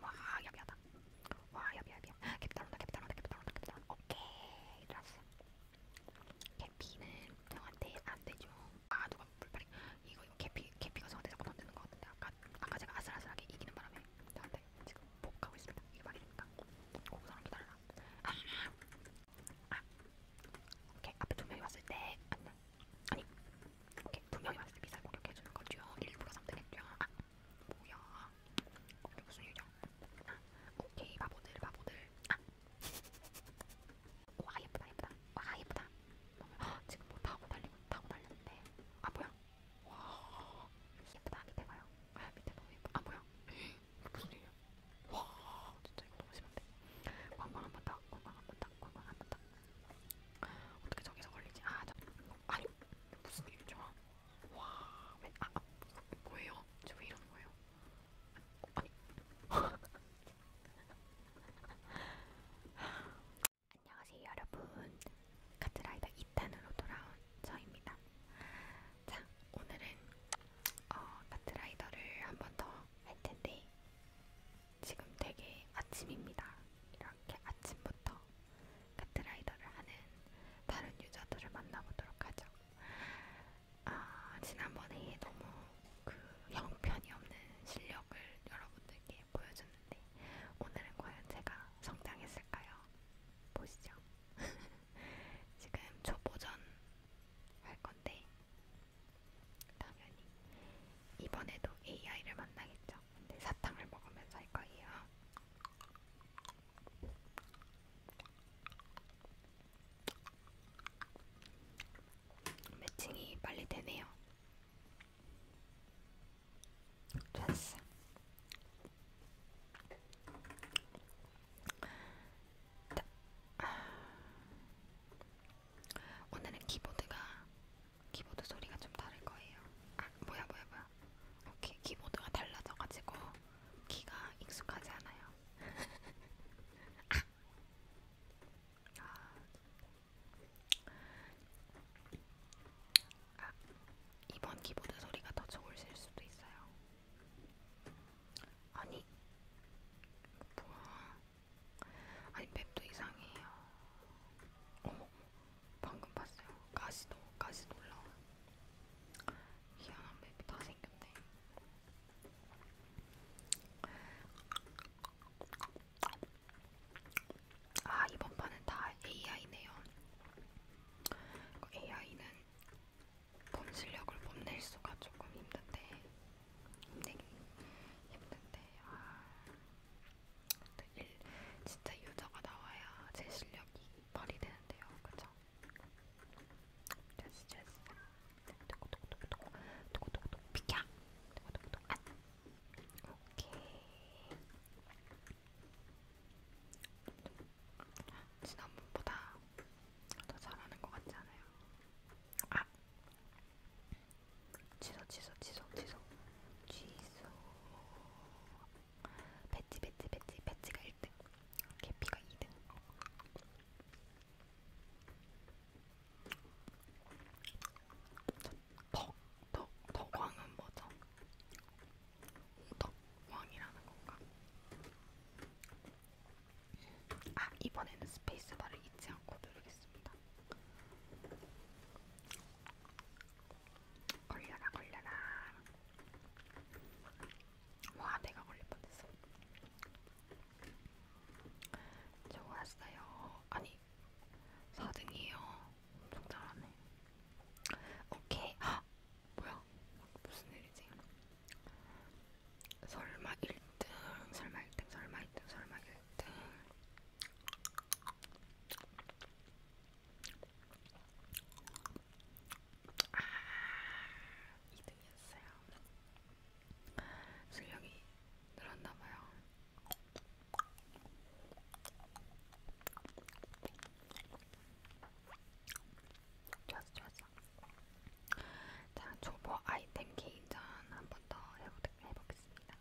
와, 야비하다. 와, 야비, 야비. 캡틴 온다, 캡틴 온다, 캡틴 온다, 캡틴 온다. 오케이, 들었어. 캐피는 저한테 안 되죠. 아, 누가 불파리. 이거, 이거 캐피, 캐피가 저한테 자꾸 던지는 것 같은데. 아까, 아까 제가 아슬아슬하게 이기는 바람에 저한테 지금 복하고 있습니다. 이게 말입니까? 고구사람 기다려라. 아, 아, 오케이 앞에 두 명이 왔을 때 안나 아, 아니 오케이 두 명이 왔을 때 미사일 공격해주는 거죠. 일부러 선택했죠. 아 뭐야? 이게 무슨 일이야? 아, 오케이 바보들 바보들. 아. 와 예쁘다 예쁘다. 와 예쁘다. 아, 지금 뭐 타고 달리고 타고 달렸는데. 아 뭐야? 와 예쁘다 밑에 봐요. 아 밑에 너무 예뻐. 아 뭐야? 무슨 일이야? 와 진짜 이거 너무 심한데 관광 한번 딱 관광 한번 딱 관광 한번 딱 어떻게 저기서 걸리지? 아 저, 아니 무슨 일이죠? 와 왜, 아, 아 뭐예요? 저왜 이러는 거예요? 어, 아니 안녕하세요 여러분 카트라이더 2탄으로 돌아온 저입니다 자 오늘은 어, 카트라이더를 한 번 더 할 텐데 지금 되게 아침입니다. 이렇게 아침부터 카트라이더를 하는 다른 유저들을 만나보도록 하죠. 아, 지난번에 너무 그 형편이 없는 실력을 여러분들께 보여줬는데 오늘은 과연 제가 성장했을까요? 보시죠. 지금 초보전 할 건데 당연히 이번에도 AI를 만나겠죠. 근데 사탕을 먹으면서 할 거예요. 매칭이 빨리 되네요. 됐어. 오늘은 키보드가 키보드 소리가 좀 다를 거예요. 아 뭐야 뭐야 뭐야. 오케이 키보드가 달라져가지고 키가 익숙하지 않아요. 아. 아. 아, 이번 키보드 소리가 더 좋으실 수도 있어요. 아니, 뭐야? 아니 맵도 이상해요. 어머, 방금 봤어요. 가시도, 가시도 올라와. 희한한 맵이 다 생겼네. 아, 이번 판은 다 AI네요. AI는 본 실력을 뽐낼 수가 조금 힘든데 되게 네. 힘든데 아, 일, 진짜 유저가 나와야 제 실력이 발휘되는데요, 그쵸? 스트레스, 스트레스. 도구도구도구도구, 도구도구도구, 비켜! 도구도구도구, 안! 오케이. 지난번보다 더 잘하는 것 같지 않아요? 아! 취소 취소 취소 취소 취소 배치 배치 배치 배치가 1등 개피가 2등 덕, 덕, 덕왕은 뭐죠? 덕왕이라는 건가? 아 이번에는 스페이스바를 잊지 않고 누르겠습니다. 걸려라 걸려라. 와 내가 걸릴 뻔했어. 좋았어요. 아니 4등이에요. 엄청 잘하네. 오케이. 아 뭐야? 무슨 일이지? 설마 1등, 설마 1등, 설마 1등, 설마 1등. 아, 2등이었어요. 실력이 늘었나봐요. 좋았어, 좋았어. 자, 초보 아이템 개인전 한번 더 해보겠습니다.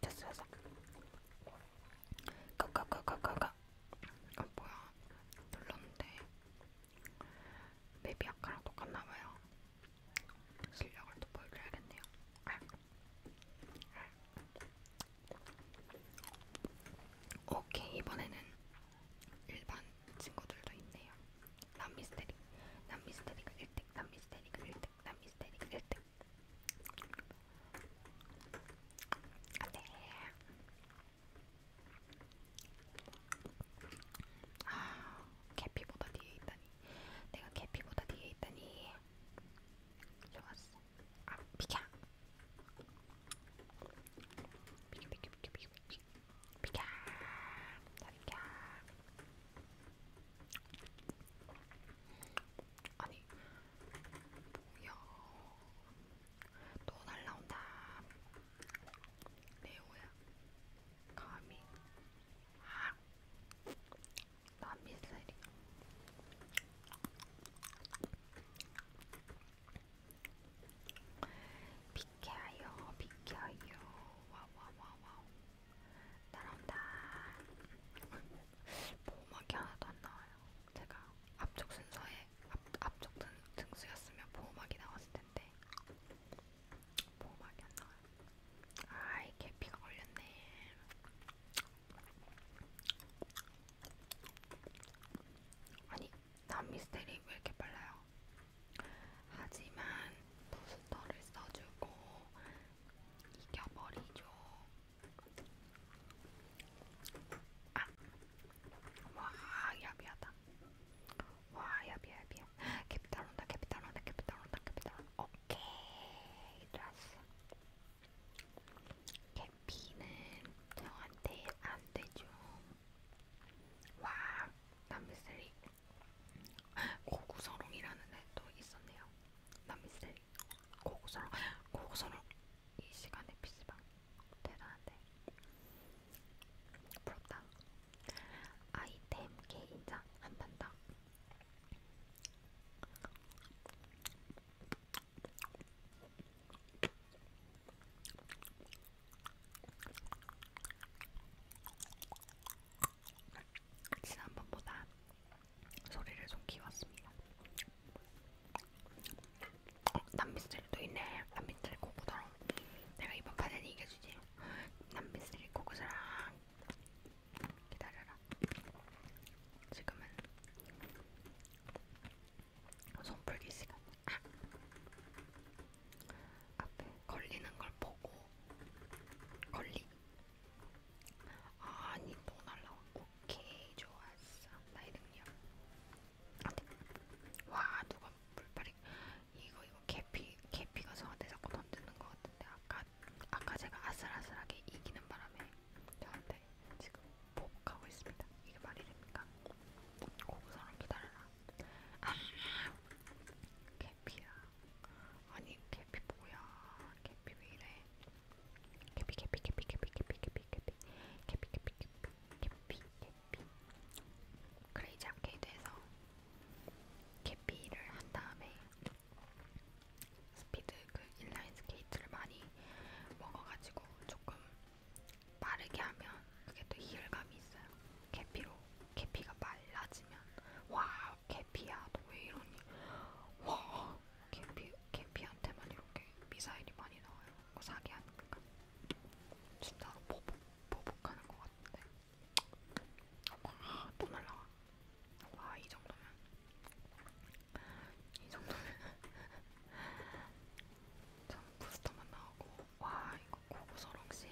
됐어, 됐어. 고고고고고고. 어, 뭐야? 눌렀는데. 맵이 아까랑 똑같나봐요. 실력을 또 보여줘야겠네요. 오케이 이번에는 일반 친구들도 있네요. 남미스테리, 남미스테리가 1등, 남미스테리가 1등, 남미스테리가 1등. 안돼. 아, 캐피보다 뒤에 있다니. 내가 캐피보다 뒤에 있다니. 좋았어. 아, 비켜. 비켜, 비켜, 비켜, 비켜, 비켜. 비켜. 나 비켜. 아니, 뭐야. 또 날라온다. 레오야. 감히 아, 남미살이 비켜요, 비켜요, 와와와와, 나온다. 보호막이 하나도 안 나와요. 제가 앞쪽 순서에 앞, 앞쪽 등, 등수였으면 보호막이 나왔을 텐데. 뭐막이 안나와요 아이 계피가 걸렸네 아니 난 미스테리 왜 이렇게 빨라요 하지만 부스터를 써주고 이겨버리죠 아! 와 야비하다 와 야비야 야비야 캐피탈 온다 캐피탈 온다 캐피탈 온다 캐피탈 온다 오케이 들었어 캐피는 저한테 안되죠 와 남미스리 고구서롱이라는 애도 있었네요 남미스리 고구서롱 고구서롱 이 시간에 피시방 대단한데 부럽다 아이템 개인장 안 판다. 지난번보다 소리를 좀 키웠습니다. 어, 남미스 미스리도 있네. 난 미스리 코코더랑 내가 이번 판에는 이겨주지. 난 미스리 코코더랑 기다려라. 지금은 손풀기 시간. 아. 앞에 걸리는 걸 보고 걸리. 아니 또 날라. 오케이 좋았어. 나의 능력. 와 누가 물파리 이거 이거 계피 계피가 저한테 자꾸 던지는 것 같은데 아까 아까 제가 아슬아슬하게 이기는 바람에 저한테 지금 보복하고 있습니다. 이게 말이 됩니까? 고구사람 기다려라. 아, 계피야. 아니 계피 뭐야? 계피 왜 이래? 계피 계피 계피 계피 계피 계피 계피 계피 계피 계피 계피 캐피 그레이지 아케이드에서 캐피를 한 다음에 스피드 그 인라인 스케이트를 많이 먹어가지고 조금 빠르게 하면 그게 또 희열감이 있어요. 캐피로 캐피가 말라지면 와 캐피야 너 왜 이러니 와 캐피 캐피한테만 이렇게 미사일이 많이 나와요. 그 사기하니까 진짜로 보복 보복하는 것 같은데. 아, 또 날라와. 와, 이 정도면. 이 정도면. 참, 부스터만 나오고. 와, 이거 고고서롱씨.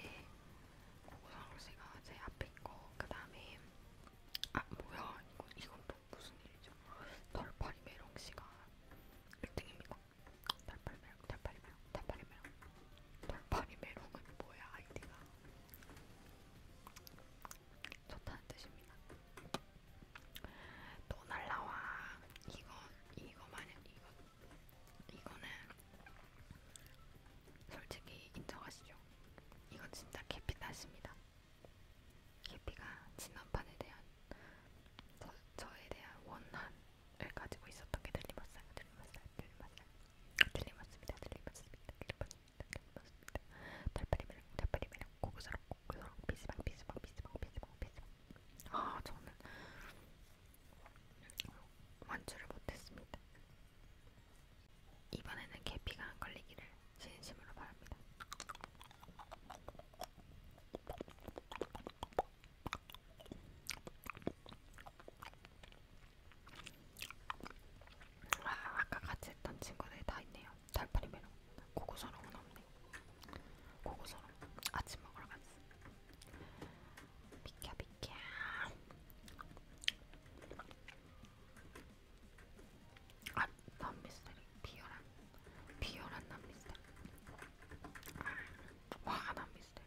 고고서롱씨가 제 앞에 있고, 그 다음에. 아, 뭐야. 이건, 이건 또 무슨 일이죠? 덜파리 메롱씨가 1등입니다. 달팔이 매력, 달팔이 매력, 달팔이 매력. 달팔이 매력은 뭐야 아이디가? 좋다는 뜻입니다. 또 날라와. 이건 이거 만약 이거 이거는 솔직히 인정하시죠? 이건 진짜 캐피 탓입니다. 캐피가 지난판에 대한 저, 저에 대한 원한 을 가지고 있었던 게 들리마살, 들리마살, 들리마살, 들리마스입니다, 들리마스입니다, 들리마스입니다, 들리마스입니다. 달팔이매랑, 달팔이매랑, 고구사랑, 고구사랑, 비스방, 비스방, 비스방, 비스방, 비스방. 아, 저는 완주를 못했습니다. 이번에는 계피가 안 걸리기를 진심으로 바랍니다. 와, 아, 아까 같이 했던 친구들이 다 있네요. 달팔이 메롱, 고고서롱은 없네. 고고서롱 아침 먹으러 갔어. 비켜 비켜. 아, 난 미스터리 비열한 비열한 난 미스터리. 아, 와난 미스터리.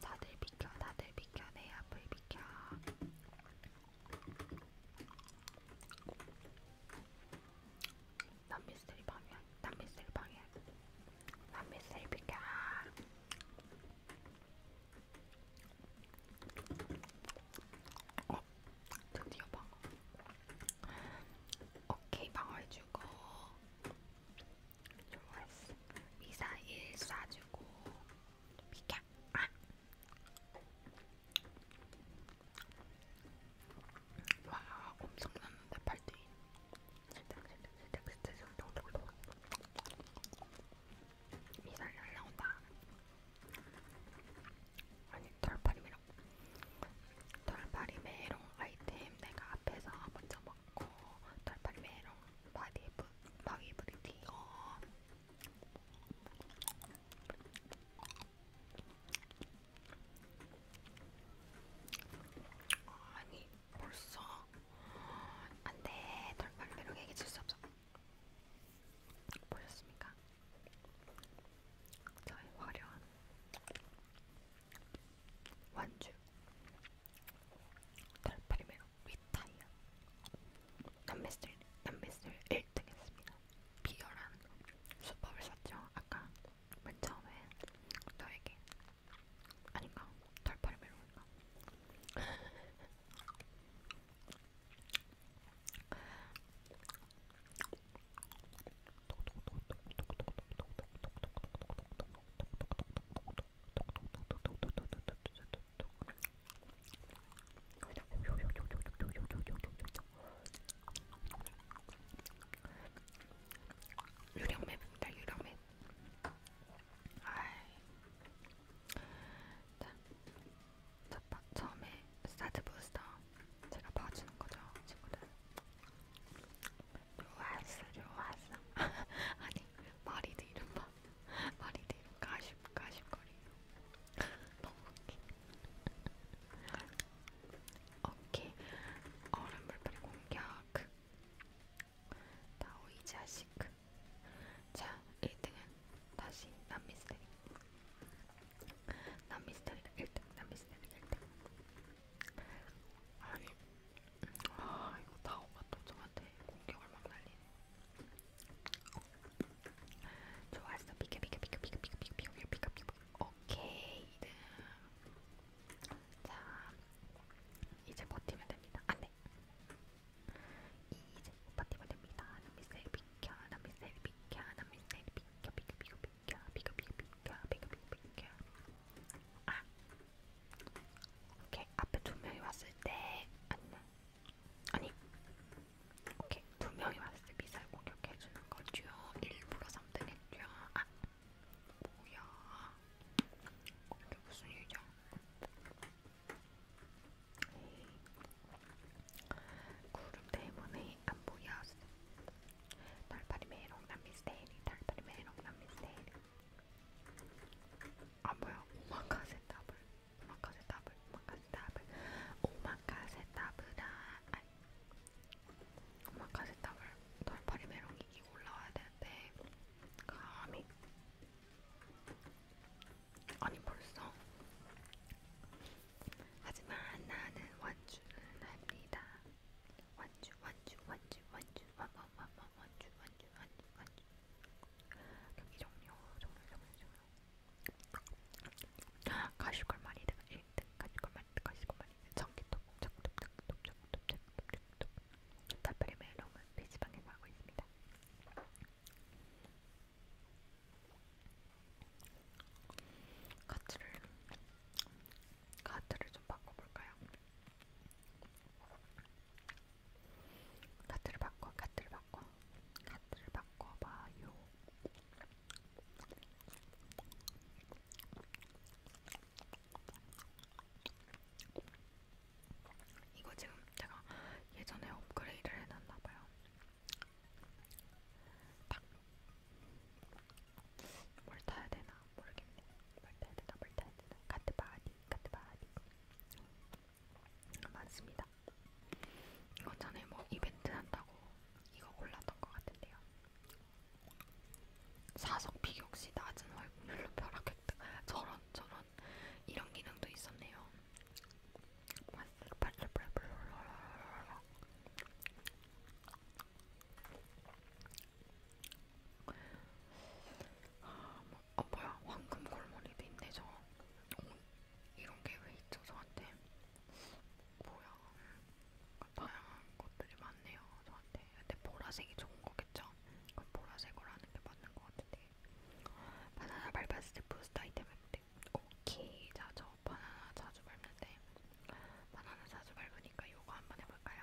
다들 비켜, 다들 비켜, 내 앞을 비켜. 남미스리 방향, 남미스리 방향, 남미스리 비켜. 어, 드디어 방어. 오케이, 방어해주고. 좋았어. 미사일 쏴주고 비켜. 아. 와, 엄청났는데 팔뚝이. 미달 날라온다. 아니 털파림이랑 털파리 메롱 아이템 내가 앞에서 먼저 먹고 털파리 메롱 바디브 바디브리티. 어. 아니 벌써 안돼 덜말대로 얘기해줄 수 없어. 보셨습니까? 저의 화려한 완주 달팔이면 위타이어 남매슬 남매슬 1등 했습니다. 비열한 수법을 썼죠. 아까 맨 처음에 너에게 아닌가? 달팔이 메론인가? 유령맵입니다. 유령맵. 자, 첫번 처음에 스타트 부스터 제가 봐주는 거죠, 친구들. 요아스, 요아스. 아니 네, 마리드 이름만 마리드 이름 가십 가십거리요. 너무 웃기. 오케이 얼음물 뿌리 공격. 다오이 자식. 자, 1등은 다시 남미스테리. 남미스테리가 1등, 남미스테리가 1등. 아니, 아 이거 다 엄마 또 저한테 공격을 막 날리네. 좋았어 비켜 비켜 비켜 비켜 비켜 비켜 비켜 비켜 비켜 오케이 네. 자 이제 버티면 됩니다. 안돼. 이제 버티면 됩니다. 남미셀 비켜 남미셀 비켜 남미셀 비켜 비켜 비켜 비켜 비켜 비켜 비켜 비켜 비켜 아 오케이 앞에 두 명이 왔을 때 아니나 아니 오케이 두 명이 왔을 때 미사일 공격해주는 거죠 일부러 3등했죠 아 뭐야 이게 무슨 일이야 구름 때문에 안 보였어 달팔이 메롱 난 미스테리 달팔이 메롱 난 미스테리 아 뭐야? 오마카세 더블, 오마카세 더블, 오마카세 더블, 오마카세 더블아, 아니, 오마카세 더블. 돌파리 메롱이 이기고 올라와야 되는데 감히 아니 벌써. 하지만 나는 완주는 합니다. 완주, 완주, 완주, 완주, 완주, 완주, 완주, 완주, 완주, 완주, 경기 종료, 종료, 종료, 종료. 가시걸 많이 든, 예, 네, 가시걸 많이 든, 가시걸 많이 든. 전기톱, 전기톱, 전기톱, 전기톱, 전기톱, 전기톱. 답변의 메일은 페이지방에서 하고 있습니다. 카트를, 카트를 좀 바꿔볼까요? 카트를 바꿔, 카트를 바꿔, 카트를 바꿔봐요. 이거 지금 제가 예전에 업그레이드를 해놨나봐요. 딱. 뭘 타야 되나 모르겠네. 뭘 타야 되나, 뭘 타야 되나. 카트 바디, 카트 바디. 많습니다. 이거 전에 뭐 이벤트 한다고 이거 골랐던 것 같은데요. 사석픽 역시 낮은 확률로 벼락획득. 저런 저런 이런 기능도 있었네요. 아, 뭐, 아 뭐야 황금 골머리도 있네 저 어, 이런 게 왜 있죠 저한테 뭐야 다양한 것들이 많네요 저한테 근데 보라색이 좋은 거겠죠? 그럼 보라색으로 하는 게 맞는 것 같은데 바나나 밟았을 때 부스트 아이템 했대 오케이 자저 바나나 자주 밟는데 바나나 자주 밟으니까 요거 한번 해볼까요?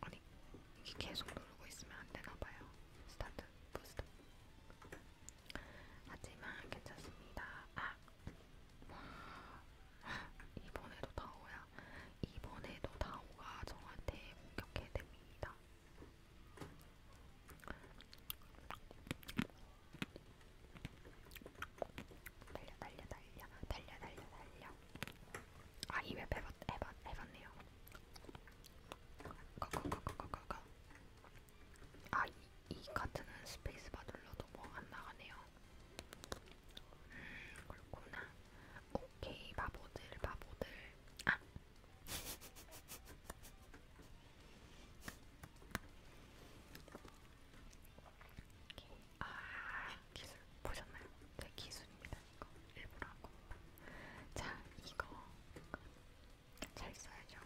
아니 이게 계속 누르고 있으면 안 되나 봐요. 스타트 부스터. 하지만 괜찮습니다. 아 이번에도 다오야. 이번에도 다오가 저한테 공격해 댑니다. 달려 달려 달려 달려 달려 달려 아, 이맵 해봤, 해봤, 해봤네요. 거거거거거거. 아, 이, 이 카트는 스페이스바 눌러도 뭐 안 나가네요. 음, 그렇구나. 오케이, 바보들, 바보들. 아! 오케이. 아, 기술 보셨나요? 제 네, 기술입니다. 이거 일부러 하고. 자, 이거 잘 써야죠.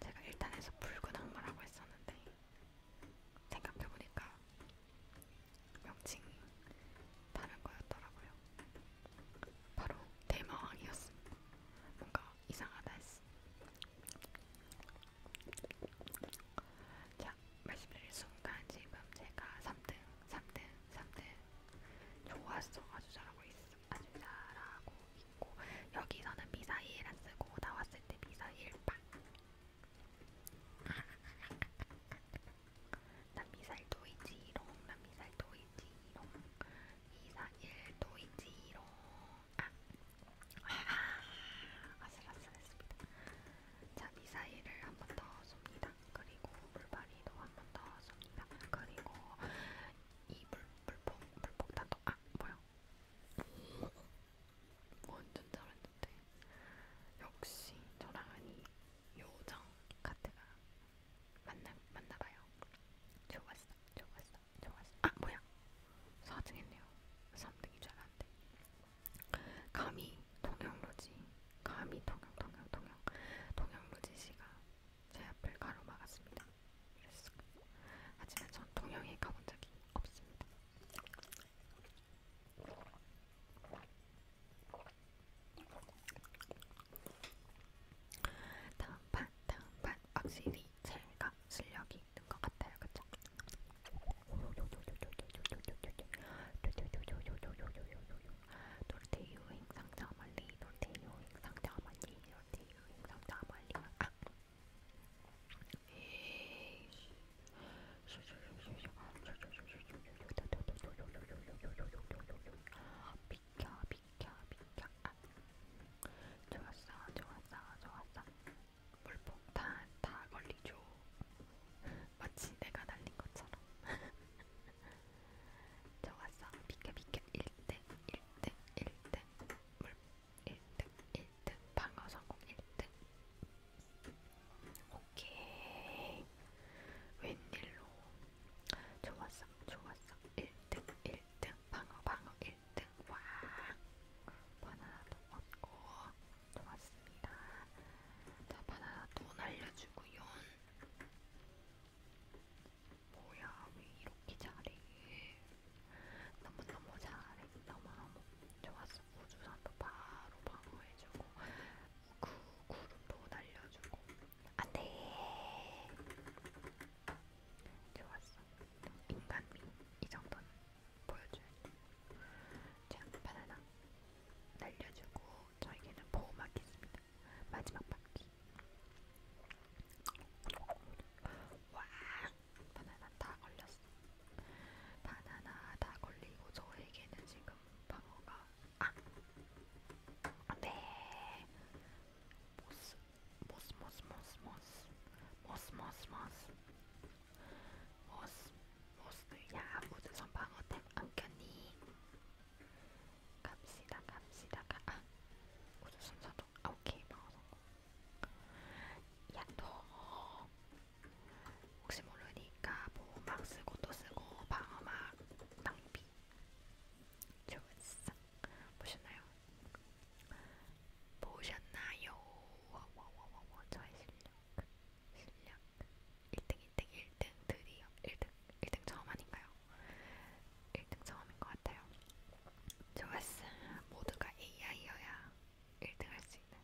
제가 일단에서 붉은 악마라고 했었는데 생각해보니까 명칭이 다른 거였더라고요. 바로 대마왕이었습니다. 뭔가 이상하다 했어. 자, 딱 말씀드릴 순간 지금 제가 3등, 3등, 3등 좋았어. 아주 잘하고 있어. 아주 잘하고 있고 여기서는 미사일 안 쓰고 나왔을 때 미사일 빵. 난 미사일 도이지롱. 난 미사일 도이지롱. 미사일 도이지롱. 아. 아슬아슬했습니다. 자 미사일을 한번더 쏩니다. 그리고 물발이도 한번 넣었습니다. 그리고 이 물, 물폭, 물폭 단도, 아, 뭐야? 완전 잘했는데. 역시 저랑 아니 요정 카트가 맞나, 맞나봐요. 좋았어, 좋았어, 좋았어. 아, 뭐야? 4등 했네요. 3등인 줄 알았는데. 감히 동영로지, 감히 동영, 동영, 동영, 동영로지 씨가 제 앞을 가로막았습니다. 그랬어. 하지만 전 동영에 가본 적이 없습니다. 다음 판, 다음 판 확실히 제가 실력이 있는 것 같아요, 그쵸? 놀테유 행상 자말리 놀테유 행상 자말리 놀테유 행상 자말리 아 에이 비켜 비켜 비켜 아 좋았어 좋았어 좋았어 물폭탄 다 걸리죠 마치 내가 날린 것처럼 좋았어 비켜 비켜 1등 1등 1등 물 1등 1등 방어 성공 1등 오케이 웬일로 좋았어 좋았어 1등 1등 방어 방어 1등 와 바나나도 얻고 고맙습니다. 자, 바나나 돈 알려주고요. 뭐야, 왜 이렇게 잘해? 너무너무 잘해. 너무너무 좋았어. 우주선도 바로 방어해주고, 그 구름도 날려주고. 안 돼! 좋았어. 인간미. 이 정도는 보여줘야 돼. 자, 바나나 날려주고 저에게는 보호막이 있습니다. 마지막 바퀴. 와, 바나나 다 걸렸어. 바나나 다 걸리고 저에게는 지금 방어가 아, 안돼. 모스, 모스, 모스, 모스, 모스, 모스, 모스, 모스. 모스, 모스야 무드선 방어템 안겼니? 갑시다 갑시다 가. 아, 무드선 사도 아, 오케이 방어성 야너 혹시 모르니까 보호막 뭐 쓰고 또 쓰고 방어막 낭비 좋았어 보셨나요? 보셨나요? 와 와 와와 저의 실력 실력 1등 1등 1등 드디어 1등 1등 처음 아닌가요? 1등 처음인 것 같아요. 좋았어. 모두가 AI여야 1등 할 수 있는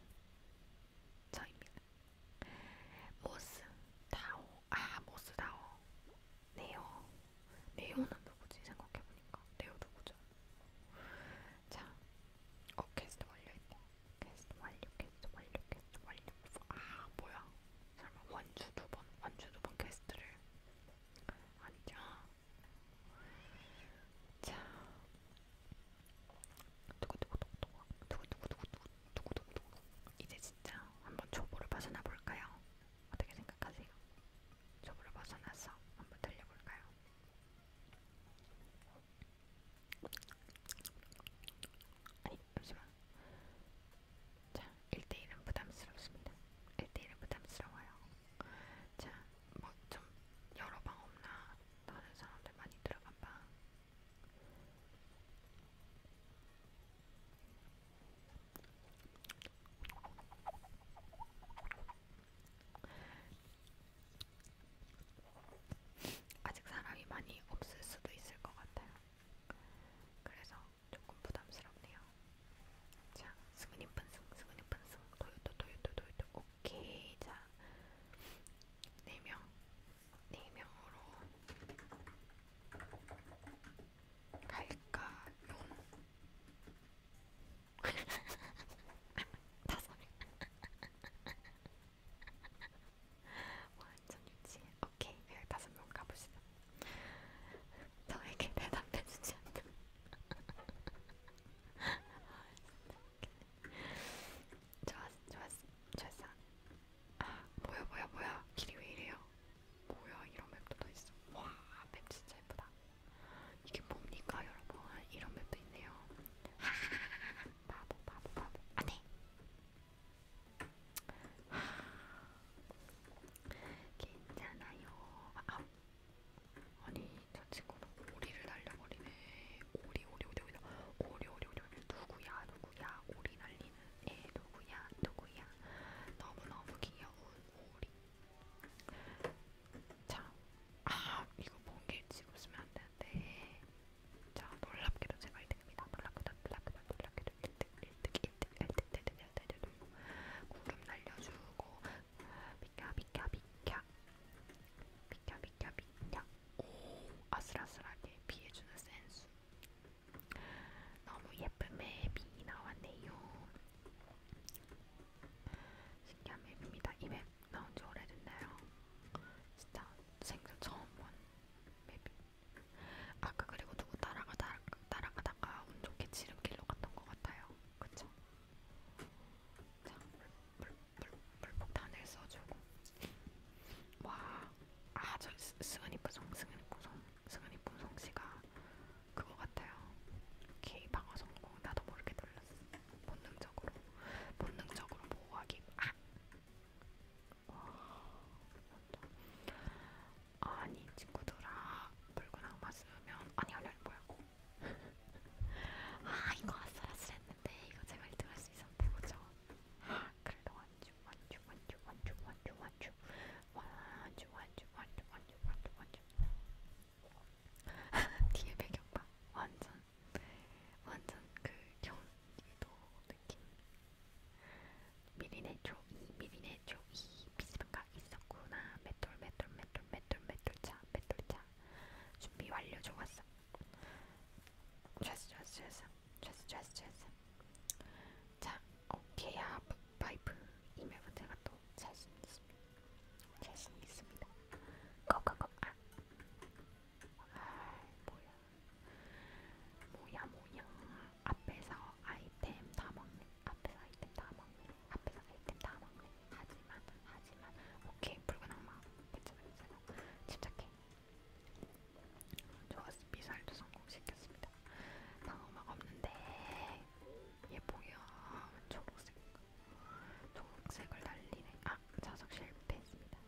저입니다. 모스 다오 아 모스 다오 네오 네오는 누구지 생각해보니까 네오 누구죠? 자 오케스트 완료했고 퀘스트 완료, 퀘스트 완료, 퀘스트 완료. 아 뭐야? 설마 원주 두 번, 원주 두번 퀘스트를 아니죠? 자, 두구두구두구두구, 두구두구두구두구, 두구두구두구. 이제 진짜 한번 초보를 벗어나 볼까요? 어떻게 생각하세요? 초보를 벗어나서 한번 달려볼까요? 아니 잠시만 자 1대1은 부담스럽습니다 1대1은 부담스러워요 자 뭐 좀 여러 방 없나 다른 사람들 많이 들어간 방 아직 사람이 많이 없을 수도 있을 것 같아요. 그래서 조금 부담스럽네요. 자, 스그님 펀승, 스그님 펀승, 도요토, 도요토, 도요토, 오케이. 자, 4명, 4명으로 갈까, 용. 다섯 명. 완전 유치해. 오케이, 열다섯 명 가보시다. 저에게 대답해주지 않는. 아, 좋았어, 좋았어, 좋았어. 아, 뭐야, 뭐야, 뭐야. 길이 왜 이래요? 뭐야, 이런 맵도 더 있어. 와, 맵 진짜 예쁘다. 이게 뭡니까, 여러분? 이런 맵도 있네요. 바보 바보 바보 안해 아, 네. 하... 괜찮아요 아, 아니 저 친구는 오리를 날려버리네 오리 오리 오리 오리 오리 오리 오리 오리 누구야 누구야 오리 날리는 애 누구야 누구야 너무너무 귀여운 오리 자, 아 이거 번개 치고 있으면 안 되는데 자, 놀랍게도 제가 1등입니다. 놀랍게도 놀랍게도 놀랍게도 1등, 1등, 1등, 1등, 1등, 1등, 1등, 1등. 구름 날려주고 비켜, 비켜, 비켜. 비켜, 비켜, 비켜. 오, 아슬아슬하게 피해주는 센스. 너무 예쁜 맵이 나왔네요. 신기한 맵입니다. 이맵 나온 지 오래됐나요? 진짜 생전 처음 본 맵이. 아까 그리고 누구 따라가 따라, 따라가다가 운 좋게 지름길로 갔던 것 같아요. 그쵸? 자, 물, 물, 물, 물폭탄을 써주고. 와, 아, 저 승은이 부성, 승은이 부성, 승은이 부성 씨가 그거 같아요. 게이 방어 성공. 나도 모르게 놀랐어. 본능적으로, 본능적으로 보호하기. 아, 아니 친구들아 붉은 악마 쓰면 아니 아니 아니 뭐야 아 이거 아슬아슬했는데 이거 제가 1등 할 수 있었는데 그죠? 그래 완주 완주 완주 완주 완주 완주 완주 완주 완주 완주 완주 완주 뒤에 배경 봐 완전 완전 그 경기도 느낌. 미리네 초이, 미리네 초이, 비스방가 있었구나. 맷돌, 맷돌, 맷돌, 맷돌, 맷돌차, 맷돌차. 준비 완료 좋았어. 좋았어, 좋았어, 좋았어, 좋았어, 좋았어, 좋았어. 자, 오케이야, 아, 파이프 이메일 제가 또 자신 있습니다. 자신 있습니다. 고고고 아, 아, 뭐야. 뭐야, 뭐야. 앞에서 아이템 다 먹네. 앞에서 아이템 다 먹네. 앞에서 아이템 다 먹네. 하지만, 하지만. 오케이, 붉은 악마. 괜찮아, 괜찮아. 침착해. 좋았어. 미사일도 성공시켰습니다. 방어막 없는데. 얘 뭐야. 초록색. 초록색을 날리네. 아, 자석 실패했습니다.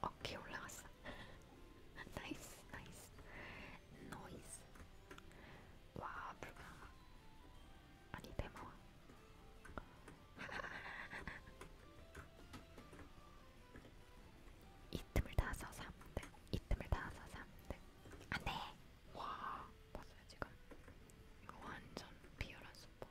어깨 올라갔어. 나이스, 나이스. 노이스. 와, 불가마. 아니, 대마왕. 이 틈을 다서 3등. 이 틈을 다서 3등. 안 돼! 아, 네. 와, 봤어요, 지금? 이거 완전 비열한 수법.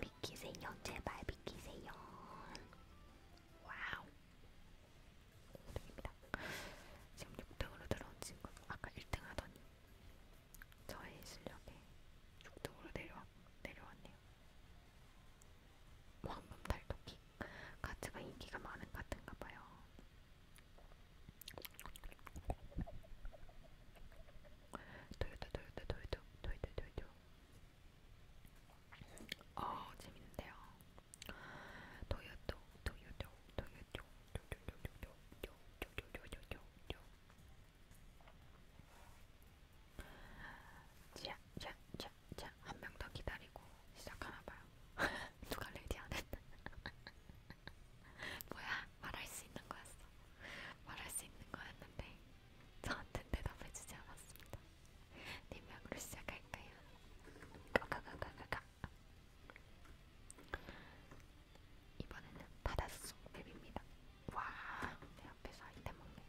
비키세요 제발 비키세요 와우 고등입니다 지금 6등으로 들어온 친구 아까 1등 하더니 저의 실력에 6등으로 내려왔, 내려왔네요 뭐 황금 달토끼 가츠가 인기가 많은 같은가봐요 도요타 도요타 도요타 도요타 도요타 어, 재밌는데요. 도요도, 도요도, 도요도, 도요도, 도요도, 도요도, 자, 자, 자, 자, 한 명 더 기다리고 시작하나봐요. 누가 레디 안 했나? 뭐야, 말할 수 있는 거였어. 말할 수 있는 거였는데. 저한테 대답해 주지 않았습니다. 네명으로 시작할까요? 가가가가가가 이번에는 바닷속 맵입니다. 와, 내 앞에서 아이템 먹네.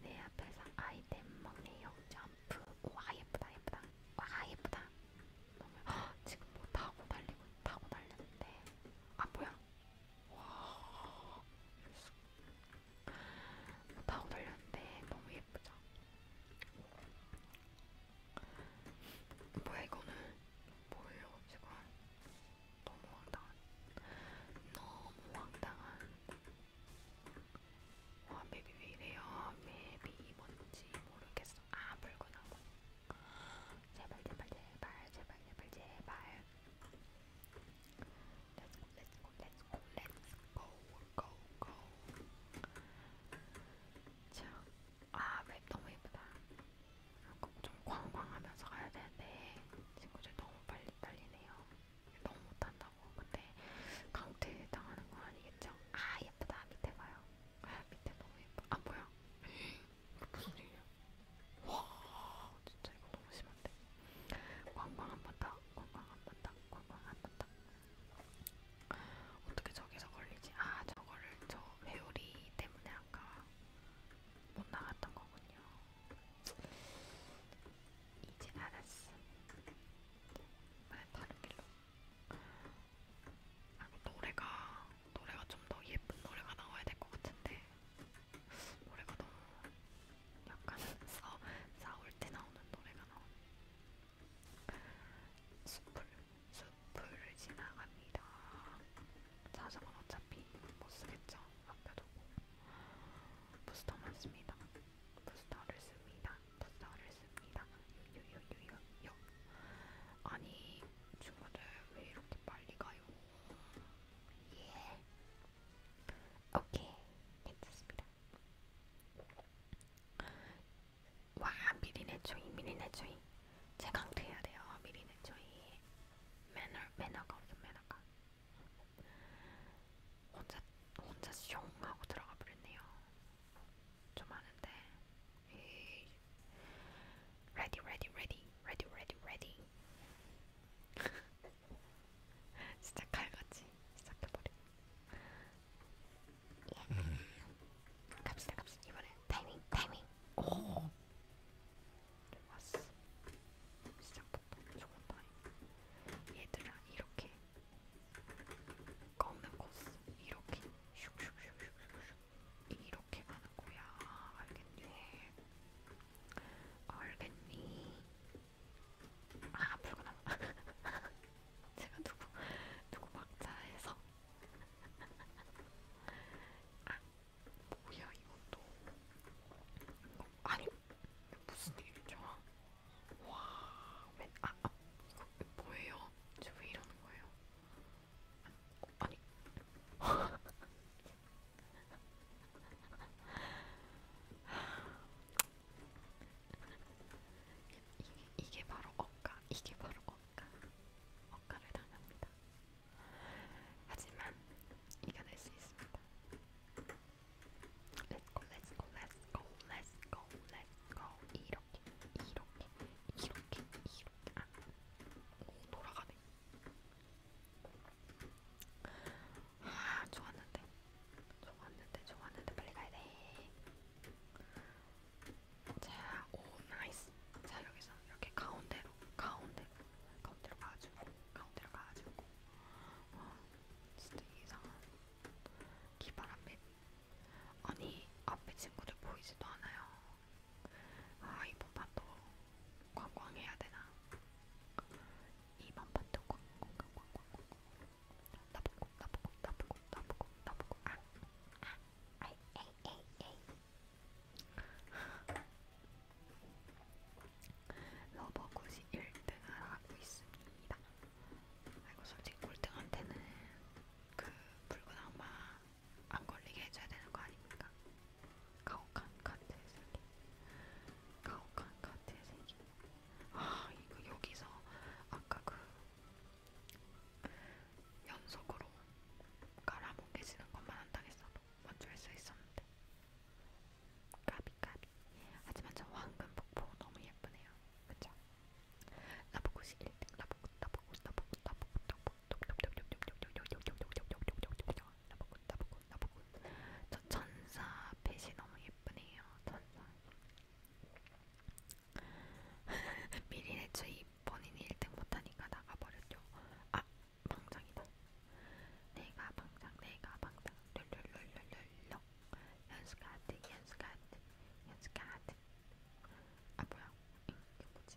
내 앞에서 아이템 먹네요. 점프. 와, 예쁘다, 예쁘다. 와, 예쁘다. 너무... 허, 지금 뭐 타고 달리고 타고 달렸는데. 아, 뭐야? 와, 다 올렸는데 너무 예쁘죠? 뭐야 이거는 뭐예요 지금? 너무 황당한, 너무 황당한. 와 맵이 왜 이래요? 맵이 뭔지 모르겠어. 아 붉은 하고. 제발 제발 제발 제발 제발 제발 Let's go let's go let's go let's go go go 자, 아맵 너무 예쁘다 좀 광광하면서 가야 되는데 친구들 너무 빨리 딸리네요 너무 못한다고 근데 강퇴 당하는 건 아니겠죠? 아 예쁘다 밑에 봐요 아 밑에 너무 예뻐 아 뭐야 무슨 일이야? 와 진짜 이거 너무 심한데. 광광 안 본다. 광광 안 본다. 광광 안 본다. 어떻게 저기서 걸리지? 아 저거를 저 회오리 때문에 아까 못 나갔던 거군요. 이제 알았어. 말 다른 길로. 아, 노래가 노래가 좀 더 예쁜 노래가 나와야 될 것 같은데 노래가 너무 약간 싸, 싸울 때 나오는 노래가 나오네. 숲을, 숲을 지나갑니다. 자전거 어차피 못 쓰겠죠. 아껴두고. 부스터만 씁니다. 부스터를 씁니다. 부스터를 씁니다. 요요요요요. 아니, 친구들 왜 이렇게 빨리 가요? 예. 오케이. 괜찮습니다. 와, 미리네 초이, 미리네 초이. 제 강퇴해야 돼요. 미리네 초이. 매너, 매너가 없어, 매너가. 혼자, 혼자 숑 하고 들어가 버렸네요. 좀 많은데. 에이. Ready, ready, ready, ready, ready, ready. 진짜 칼같이 시작해버려. 예. 음. 갑시다, 갑시다. 이번엔 타이밍, 타이밍. 오. 왔어. 시작부터 좋은 타이밍. 얘들아, 이렇게. 꺾는 코스. 이렇게. 슉슉슉슉슉. 이렇게. 이렇게 가는 거야. 알겠니? 알겠니? 아, 불구나. 제가 누구, 누구 막자해서. 아, 뭐야, 이것도. 이거, 어, 아니, 이거 무슨 일이죠? 와, 왜, 아, 아, 이거 뭐예요? 저왜 이러는 거예요? 아, 아니, 이게, 이게 바로 억까, 이게 바로 억까, 억까를 당합니다. 하지만 이겨낼 수 있습니다. Let's go, let's go, let's go, let's go, let's go. 이렇게, 이렇게, 이렇게, 이렇게. 아, 오, 돌아가네. 아, 좋았는데. 좋았는데, 좋았는데, 빨리 가야 돼. 자, 오, 나이스. 자, 여기서 이렇게 가운데로, 가운데로, 가운데로 가가지고, 가운데로 가가지고. 와, 어, 진짜 이상한. 기발 앞에. 아니, 앞에 친구들 보이지도 않아요. 아 이번 판도 관광 해야 되나? 이번 판도 관광 관광 관광 나보고 나보고 나보고 나보고 나보고 아, 아, 아이, 에이, 에이, 에이. 러버굿이 1등을 하고 있습니다. 아이고 솔직히 꼴등한테는 그 붉은 악마 안 걸리게 해줘야 되는 거 아닙니까? 가혹한 카트의 세계 가혹한 카트의 세계 아 이거 여기서 아까 그 연속으로 깔아뭉개지는 것만 한다고 했어도 먼저 할수 있었는데 까비 까비 하지만 저 황금 폭포 너무 예쁘네요 그쵸? 나보고 11등 나보고 나보고 나보고 나보고 나보고 나보고 나보고 나보고 저 천사 펫이 너무 예쁘네요. 천사. 미리 애초에 본인이 1등 못하니까 나가버렸죠. 아 방장이다. 내가 방장 내가 방장 룰룰룰룰룰 연습가드 연습가드 연습가드 아 뭐야 이게 뭐지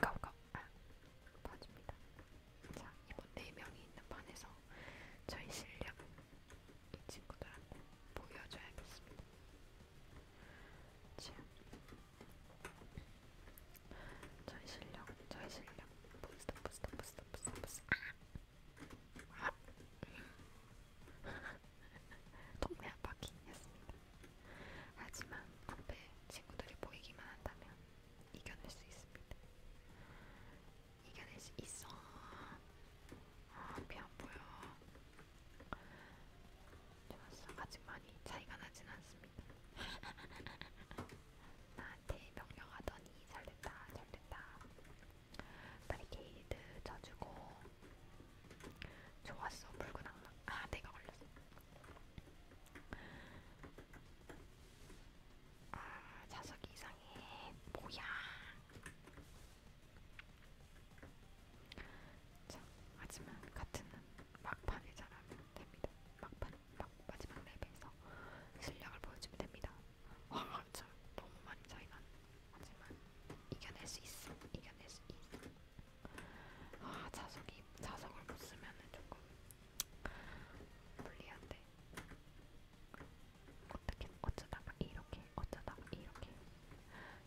깜깜 아, 반입니다. 자 이번 네 명이 있는 반에서 저희 실력 이 친구들한테 보여줘야겠습니다. 자, 저희 실력, 저희 실력, 부스터, 부스터, 부스터, 부스터, 부스터. 아! 아! 동네 한 바퀴 했습니다. 하지만 앞에 친구들이 보이기만 한다면 이겨낼 수 있습니다. 이겨낼 수 있어. 아, 피안 보여. 좋았어. 아직 많이 차이가 나진 않습니다. 나한테 명령하더니 잘됐다, 잘됐다. 바리케이드 쳐주고 좋았어, 붉은 악마. 아, 내가 걸렸어. 아, 자석이 이상해. 뭐야? 자, 하지만 같은 막판에 잘하면 됩니다. 막판, 막, 마지막 랩에서 실력을 보여주면 됩니다. 와, 참 너무 많이 차이 난. 하지만 이겨낼 수 있어. 이겨낼 수 있어. 아 자석이 자석을 못 쓰면은 조금 불리한데 어떻게 어쩌다가 이렇게 어쩌다가 이렇게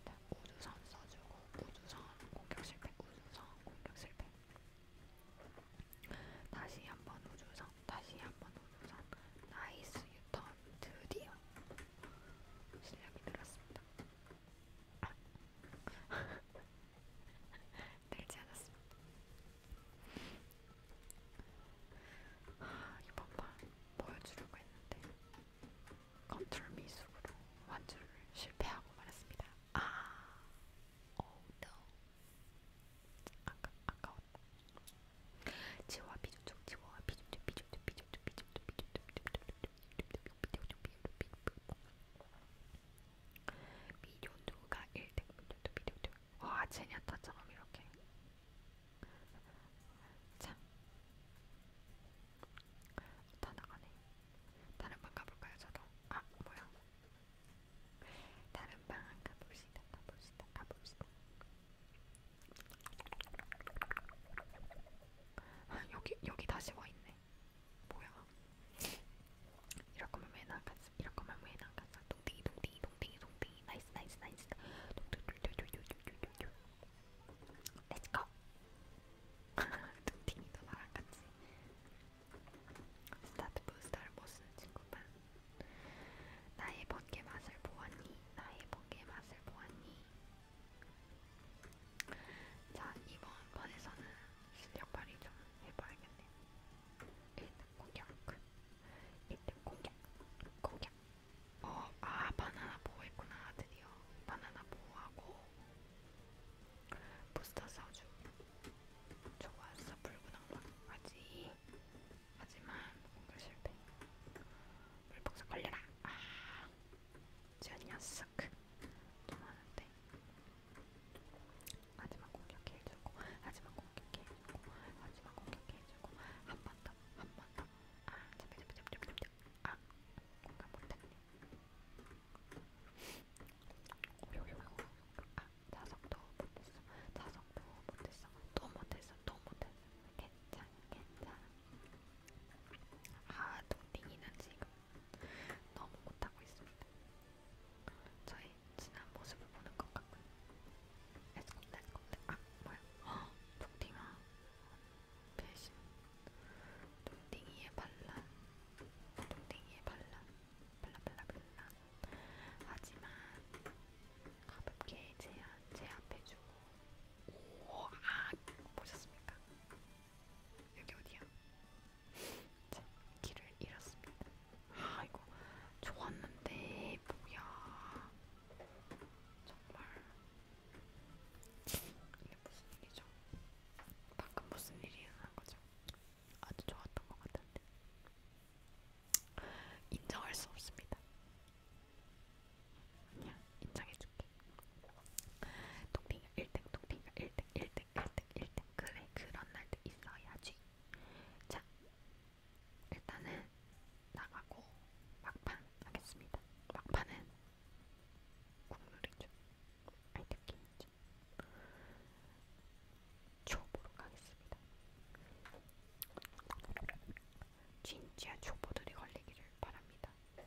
자, 우주선 써주고 우주선 공격 실패 우주선 공격 실패 다시 한번 우주선 다시 한번 우주선 나이스 유턴 드디어 실력이 늘었습니다. 늘지 않았습니다. 아, 이번 판 보여주려고 했는데 컨트롤 미숙으로 완주를 실패하고 말았습니다. 아, 오, 어, no. 아까, 아까웠다. 지워, 비조쪽, 지워, 비조쪽, 비조쪽, 비조쪽, 비조쪽, 비조쪽, 비조쪽, 미디오가 1등 미디오 와 제니아타처럼 이렇게 자, 다 나가네. 다른 방 가볼까요, 저도? 아, 뭐야? 다른 방 가봅시다, 가봅시다, 가봅시다. 아, 여기 여기 다시 와 있네. 뭐야? 이럴 거면 왜 나갔어? 이럴 거면 왜 나갔어? 동댕이 동댕이 동댕이 동댕이 나이스 나이스 나이스 동댕이동댕이동댕이동댕이동댕이 Let's go! 동댕이도 나랑 같이 스타트 부스터를 못 쓰는 친구만 나의 번개 맛을 보았니? 나의 번개 맛을 보았니? 자, 이번 판에서는 실력 발휘 좀 해봐야겠네. 1등 공격, 1등 공격, 공격. 어, 아, 바나나 보호했구나, 드디어. 바나나 보호하고, 부스터 사주. 좋았어, 불구낭만. 하지. 하지만, 공격 실패. 물복사 걸려라. 아. 제니아스크 도망하는데 하지만 공격해주고 하지만 공격해주고 하지만 공격해주고 한 번더한 번더아 잠깐 잠깐 잠깐 잠깐 아 공감 못했네 오요요요 아 자석도 못했어 자석도 못했어 또 못했어 또 못했어 괜찮아 괜찮아 아 동댕이는 지금 너무 못하고 있습니다. 저희 지난 모습을 보는 것 같고요. 에스콘, 에스콘, 아, 뭐야? 헉, 북딩아. 배신. 동딩이의 반란. 동딩이의 반란. 발라발라발라. 하지만 가볍게 제한, 제압해주고. 오, 아, 보셨습니까? 여기 어디야? 자, 길을 잃었습니다. 아 이거 좋았는데 뭐야? 정말 이게 무슨 일이죠? 방금 무슨 일이 일어난 거죠? 아주 좋았던 것 같은데 인정할 수 없습니다. 그냥 인정해줄게. 똥띵아 1등 똥띵아 1등 1등 1등 1등 그래 그런 날도 있어야지 자 일단은 나가고 막판 하겠습니다 막판은 국룰이죠 아이템게임이죠 초보로 가겠습니다 진짜 초보들이 걸리기를 바랍니다 Let's go.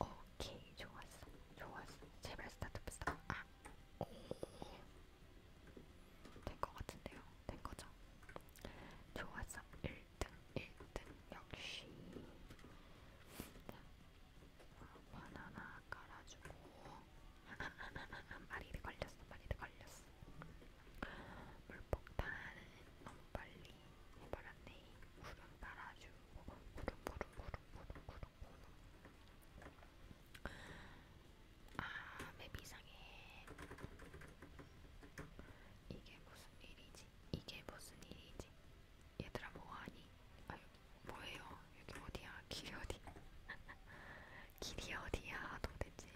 오케이 좋았어 좋았어 제발 스타트 스타 아된거 같은데요 된 거죠 좋았어 1등 1등 역시 바나나 깔아주고 마리를 걸렸어, 마리를 걸렸어. 물폭탄은 너무 빨리 해버렸네. 구름 달아주고, 구름, 구름, 구름, 구름, 구름, 구름. 아, 맵 이상해. 이게 무슨 일이지? 이게 무슨 일이지? 얘들아 뭐하니? 아유 뭐예요? 여기 어디야? 길이 어디? 길이 어디야? 도대체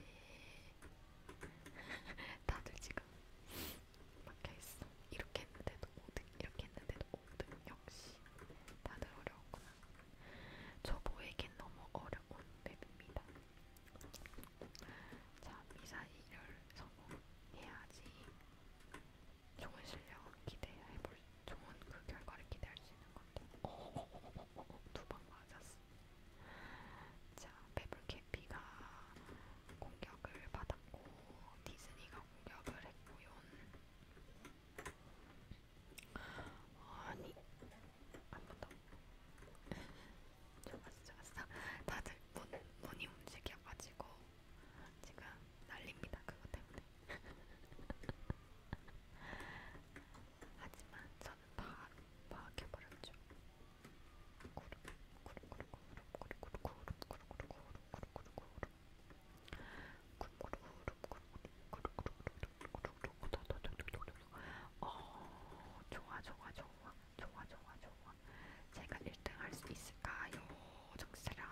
다들 지금 막혀있어. 이렇게 했는데도 5등, 이렇게 했는데도 5등. 역시 다들 어려웠구나. 저보에겐 너무 어려운 맵입니다. 자, 미사일을 성공해야지. 좋은 실력 기대해볼 좋은 그 결과를 기대할 수 있는 건데. 두방 맞았어. 자, 페블캐피가 공격을 받았고 디즈니가 공격을 했고요. 아니, 한번 더. 좋았어, 좋았어. 다들 문, 문이 움직여가지고 지금 난립니다. 그것 때문에. 하지만 저는 바로 파악해버렸죠. 구름, 구름, 구름, 구름, 구름, 구름, 구름, 구름, 구름, 구름, 구름, 어, 좋아, 좋아, 좋아, 좋아, 좋아, 좋아. 제가 1등 할수 있을까요? 정사람.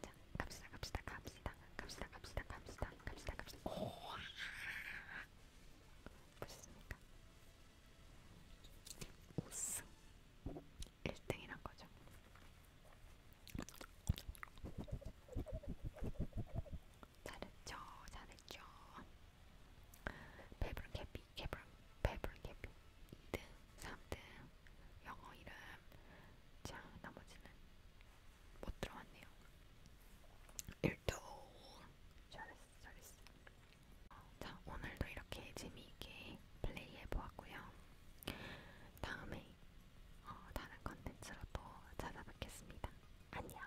자, 갑시다, 갑시다, 갑시다, 갑시다, 갑시다, 갑시다, 갑시다, 갑시다. 오, 보셨습니까? 우승 1등이란 거죠. 잘했죠, 잘했죠. 배부른 캐피 페블, 페블캐비 2등, 3등, 영어 이름, 자, 나머지는 못 들어왔네요. 1등, 잘했어, 잘했어. 자, 오늘도 이렇게 재미있게 플레이해보았고요. 다음에 어, 다른 컨텐츠로 또 찾아뵙겠습니다. 안녕!